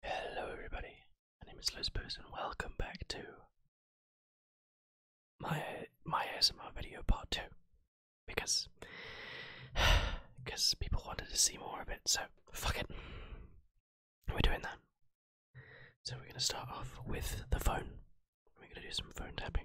Hello, everybody. My name is Lizpoos, and welcome back to my my ASMR video part two, because because people wanted to see more of it. So fuck it, we're doing that. So we're gonna start off with the phone. We're gonna do some phone tapping.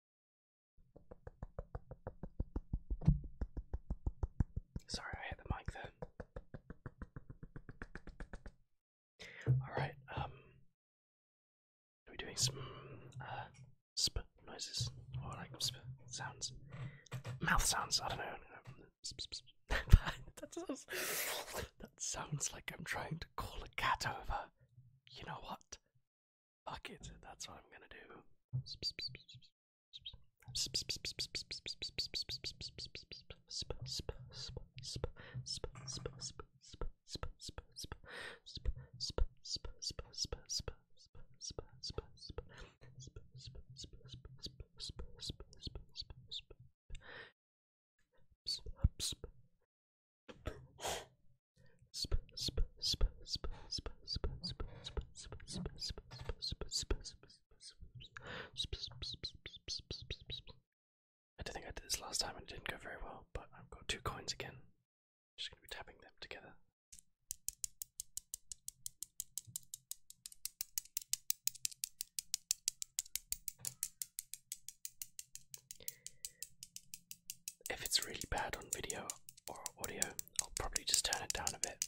Sorry, I hit the mic Then, Alright, um. Are we doing some uh, sp noises? Or like sp sounds? Mouth sounds, I don't know. that, sounds, that sounds like I'm trying to call a cat over. You know what? Fuck it, that's what I'm gonna do. I do think I did this last time and it didn't go very well, but I've got two coins again. I'm just gonna be tapping them together. If it's really bad on video or audio, I'll probably just turn it down a bit.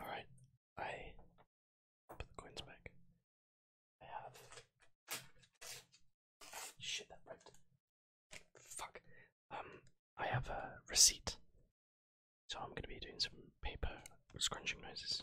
Alright, I put the coins back. I have. Shit, that broke. Fuck. Um, I have a receipt. So I'm gonna be doing some paper scrunching noises.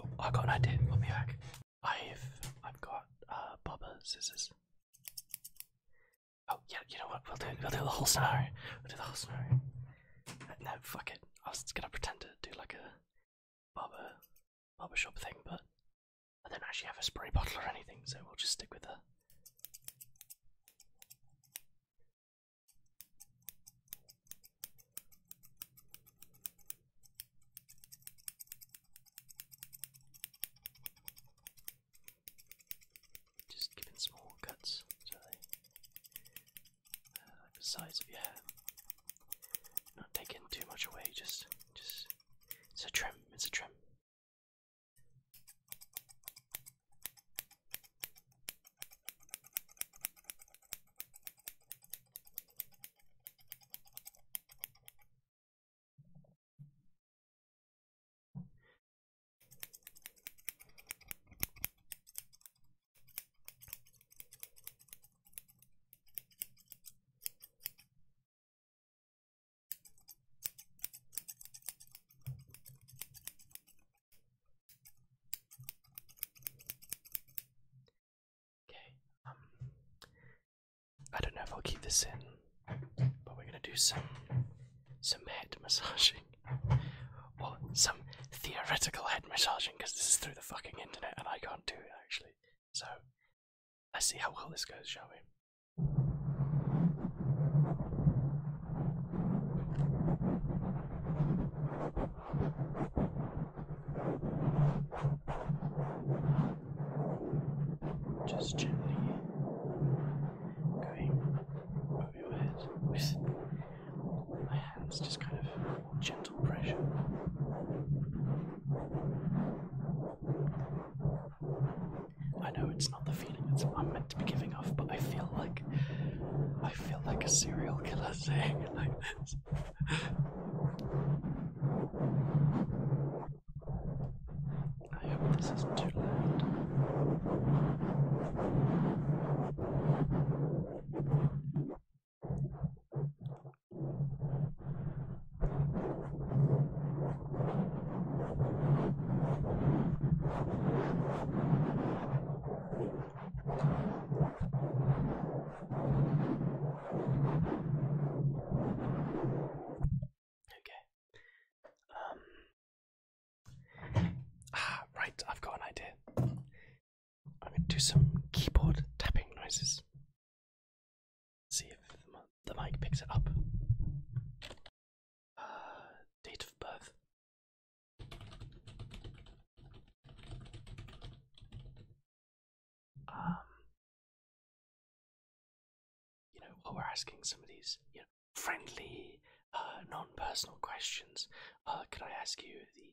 Oh, I got an idea. Let me back. I've I've got uh Baba scissors. Oh yeah, you know what? We'll do we'll do the whole scenario. We'll do the whole scenario. No, fuck it. I was just gonna pretend to do like a barber barbershop thing, but I don't actually have a spray bottle or anything, so we'll just stick with that. Just giving small cuts, uh, like the size of your hair. Not taking too much away, just just it's a trim, it's a trim. Okay, um, I don't know if I'll keep this in, but we're gonna do some some head massaging, or some theoretical head massaging, because this is through the fucking internet and I can't do it actually. So let's see how well this goes, shall we? Just gently going over your head with my hands, just kind of gently. I know it's not the feeling it's, I'm meant to be giving off, but I feel like I feel like a serial killer saying it like I hope this isn't too loud. Okay. Ah, right. I've got an idea. I'm going to do some keyboard tapping noises. See if the mic picks it up. Uh, date of birth. Um, you know, while we're asking some of these, you know, friendly, uh, non-personal questions, uh, can I ask you the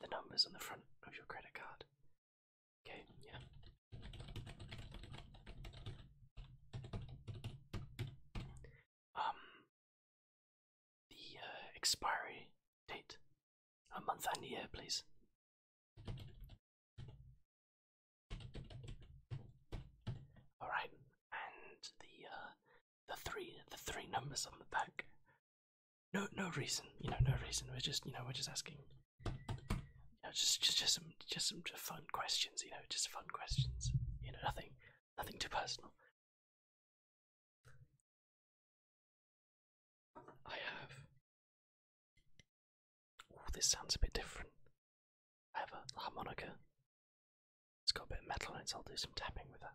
the numbers on the front of your credit card. Okay, yeah. Um, the uh, expiry date, a month and year, please. All right, and the uh, the three the three numbers on the back no, no reason. You know, no reason. We're just, you know, we're just asking. just, just, just some, just some fun questions. You know, just fun questions. You know, nothing, nothing too personal. I have. Oh, this sounds a bit different. I have a harmonica. It's got a bit of metal in it, I'll do some tapping with that.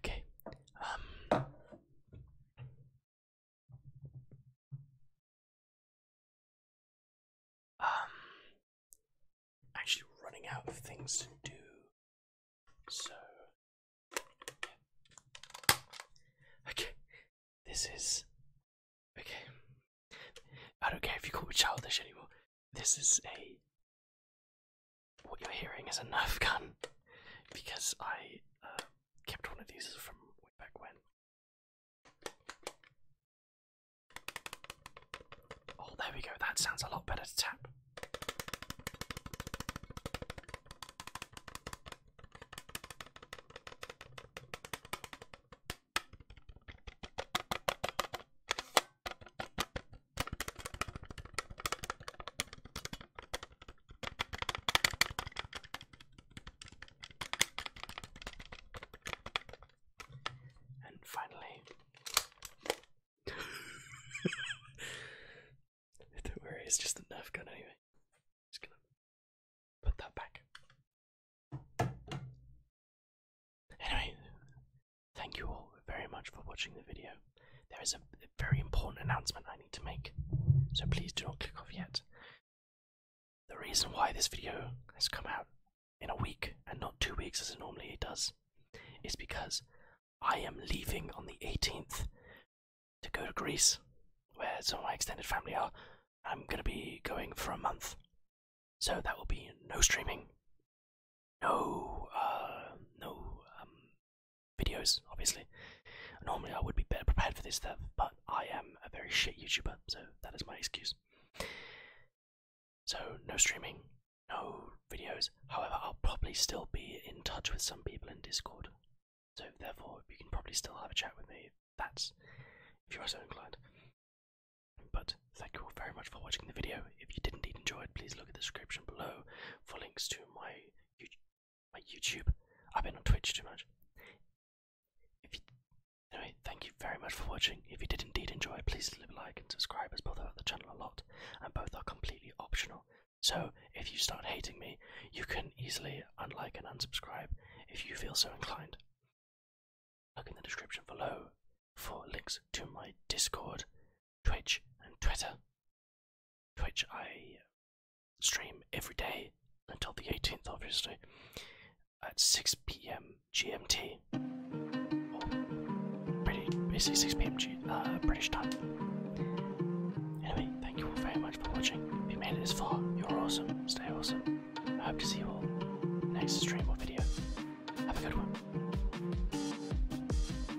Okay. Um. um actually running out of things to do. So Okay. This is okay. I don't care if you call me childish anymore. This is a what you're hearing is a Nerf gun because I uh, kept one of these from way back when. Oh, there we go. That sounds a lot better to tap. And finally, don't worry, it's just a nerf gun anyway. Just gonna put that back. Anyway, thank you all very much for watching the video there is a very important announcement I need to make, so please do not click off yet. The reason why this video has come out in a week and not two weeks as it normally does is because I am leaving on the 18th to go to Greece, where some of my extended family are. I'm going to be going for a month, so that will be no streaming, no, uh, no um, videos, obviously. Normally I would be better prepared for this stuff, but I am a very shit YouTuber, so that is my excuse. So, no streaming, no videos. However, I'll probably still be in touch with some people in Discord. So, therefore, you can probably still have a chat with me if that's if you are so inclined. But thank you all very much for watching the video. If you did indeed enjoy it, please look at the description below for links to my YouTube my YouTube. I've been on Twitch too much. anyway, thank you very much for watching. If you did indeed enjoy, please leave a like and subscribe as both help the channel a lot, and both are completely optional. So if you start hating me, you can easily unlike and unsubscribe if you feel so inclined. Look in the description below for links to my Discord, Twitch, and Twitter which I stream every day until the 18th, obviously, at 6 p.m. GMT, or basically 6 p.m. Uh, British time. Anyway, thank you all very much for watching. If you made it this far, you're awesome. Stay awesome. I hope to see you all next stream or video. Have a good one.